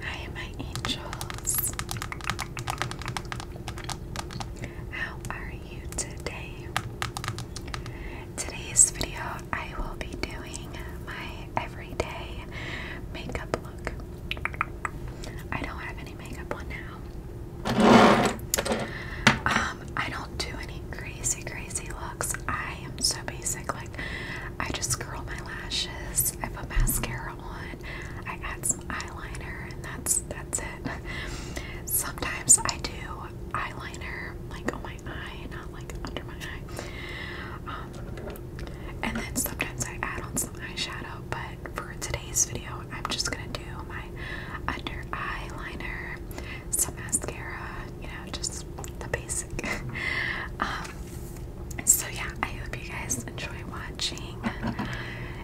Hi, my angels. How are you today? Today's video, I will be doing my everyday makeup look. I don't have any makeup on now. Um, I don't do any crazy, crazy looks. I am so basic like I just curl my lashes, I put mascara on, I add some eyeliner, and that's that's it. Sometimes I do eyeliner like on my eye, not like under my eye. Um, and then sometimes I add on some eyeshadow, but for today's video, I'm just gonna do my under eyeliner, some mascara, you know, just the basic. Um, so, yeah, I hope you guys enjoy watching.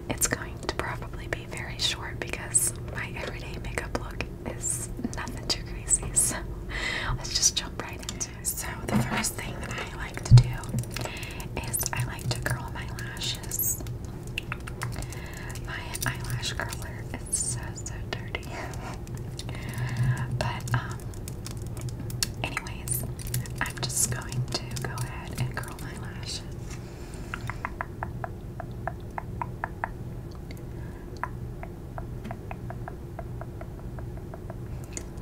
It's going to probably be very short because my everyday makeup look is nothing too crazy. So, let's just jump right into it. So, the first thing that I like to do is I like to curl my lashes. My eyelash curler is so, so dirty. but, um, anyways, I'm just going to go ahead and curl my lashes.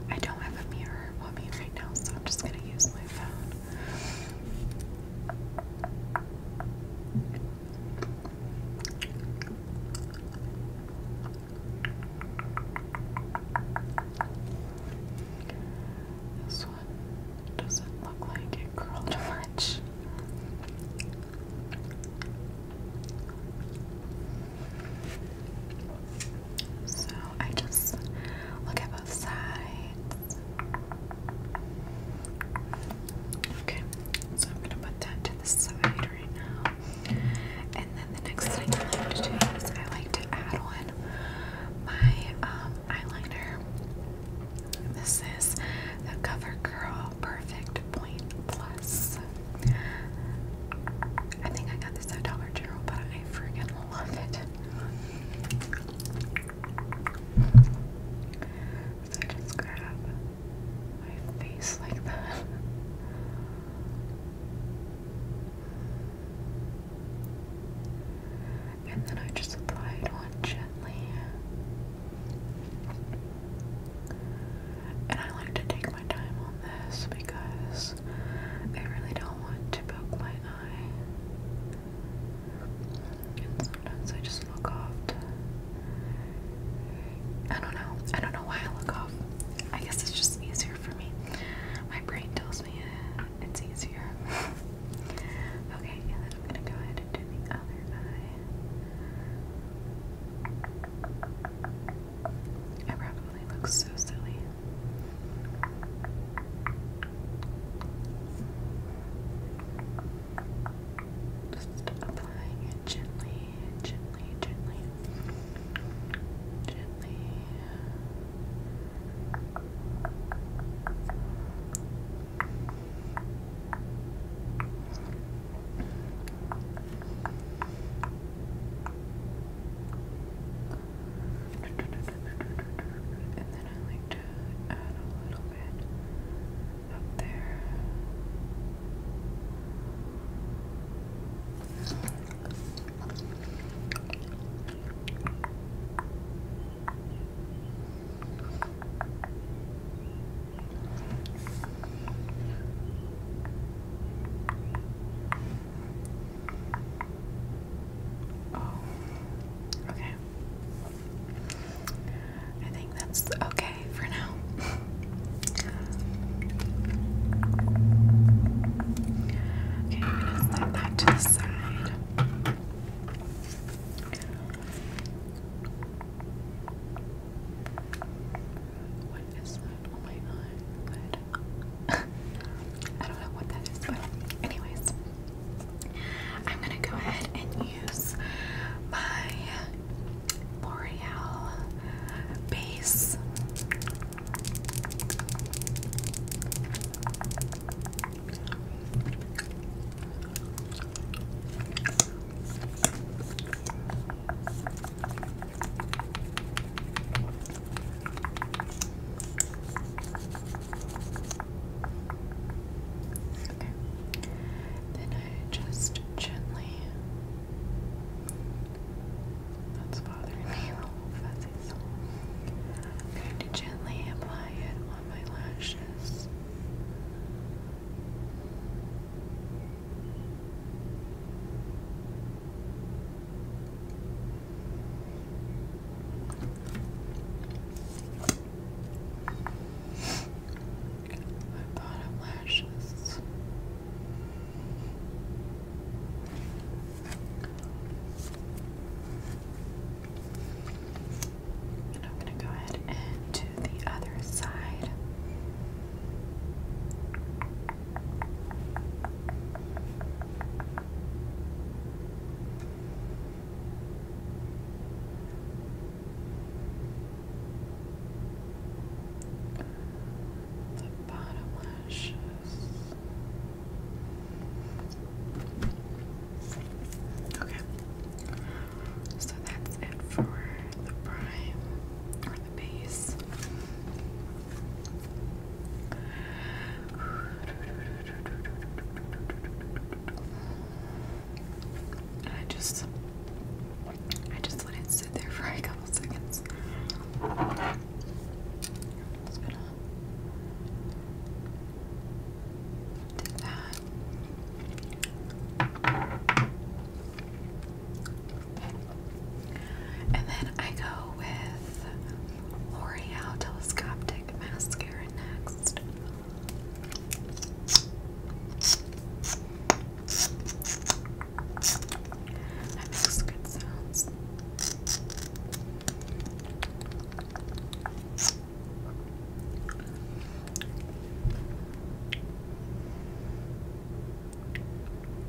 I don't have a mirror on me so I'm just going to use my phone. This one doesn't look like it curled much. So I just look at both sides. Okay, so I'm gonna put that to the side right now. And then the next thing I like to do is I like to add on my um, eyeliner. This is the CoverGirl Perfect Point Plus. I think I got this at Dollar General, but I freaking love it. So I just grab my face like that. And then I just applied one gently. And I like to take my time on this because I really don't want to poke my eye. And sometimes I just look off. I don't know. I don't know why I look off. I guess it's just easier for me. My brain tells me it's easier. okay, and I'm gonna go ahead and do the other eye. I probably look so silly. Just applying it gently gently, gently, gently. And then I like to add a little bit up there. Oh, okay. I think that's okay for now. Okay, I'm gonna set that to the side. What is oh my god. I don't know what that is, but anyways. I'm gonna go ahead and use my L'Oreal base. Okay. Then I just gently that's bothering me, the fuzzy I'm going to gently apply it on my lashes my bottom lashes. And I'm going to go ahead and do the other side the bottom lashes. Okay, so that's it for the prime or the base. And I just, I just let it sit there for a couple seconds. It's that. And then I go with L'Oreal Telescopic Mascara next. That makes good sounds.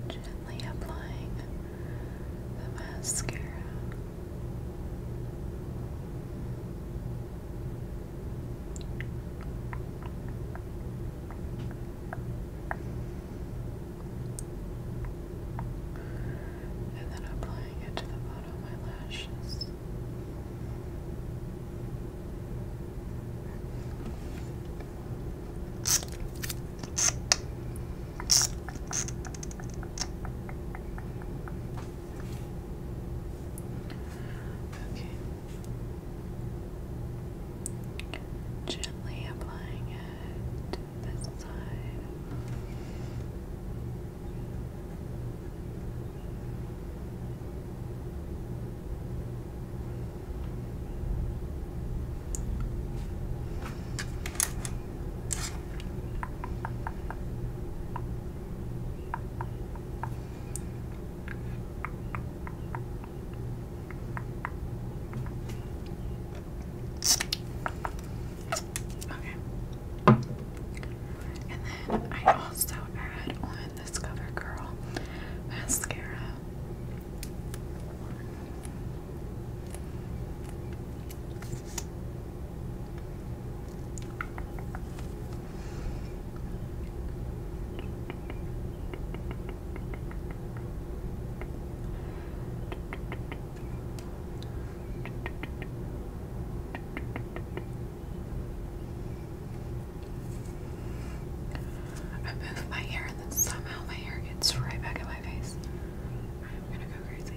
Gently applying the mascara. And then applying it to the bottom of my lashes. Okay. Gently applying it to this side. Okay. And then I also add on this CoverGirl mascara. I move my hair and then somehow my hair gets right back in my face. I'm gonna go crazy.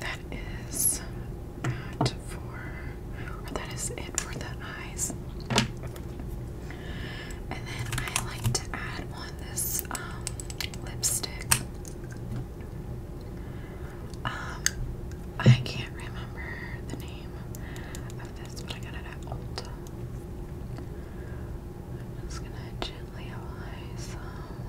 That is that for, that is it for the eyes. And then I like to add on this um, lipstick. Um, I can't remember the name of this, but I got it at Ulta. I'm just gonna gently apply some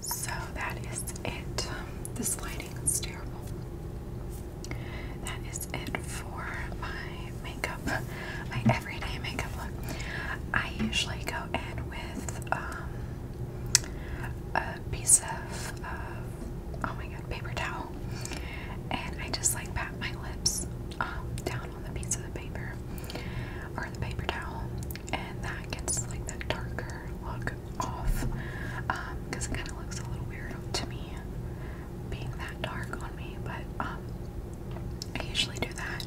So that is it. Um, this lighting is terrible. That is it for my makeup, my everyday makeup look. I usually go in with um, a piece of, oh my god, paper towel, and I just like pat my lips um, down on the piece of the paper or the paper towel, and that gets like that darker look off because um, it kind of looks a little weird to me being that dark on me, but um, I usually do that,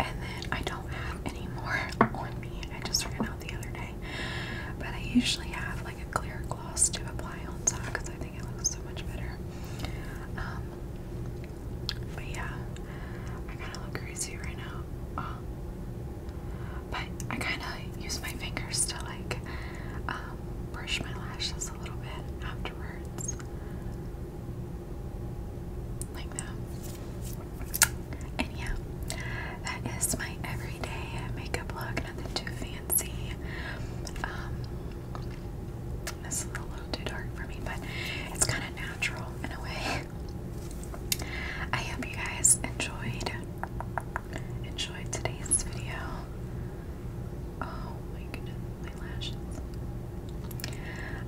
and then I don't have any more on me. I just ran out the other day, but I usually have like a clear gloss to apply on top because I think it looks so much better. Um, but yeah, I kind of look crazy right now. Um, but I kind of use my fingers to like um, brush my lashes a little bit afterwards. Like that. And yeah, that is my everyday makeup look. Nothing too fancy. Um, this is a little too dark for me, but it's kind of natural in a way. I hope you guys enjoyed enjoyed today's video. Oh my goodness, my lashes.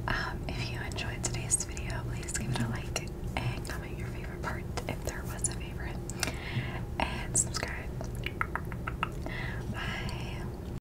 Um, if you enjoyed today's video, please give it a like and comment your favorite part if there was a favorite. And subscribe. Bye.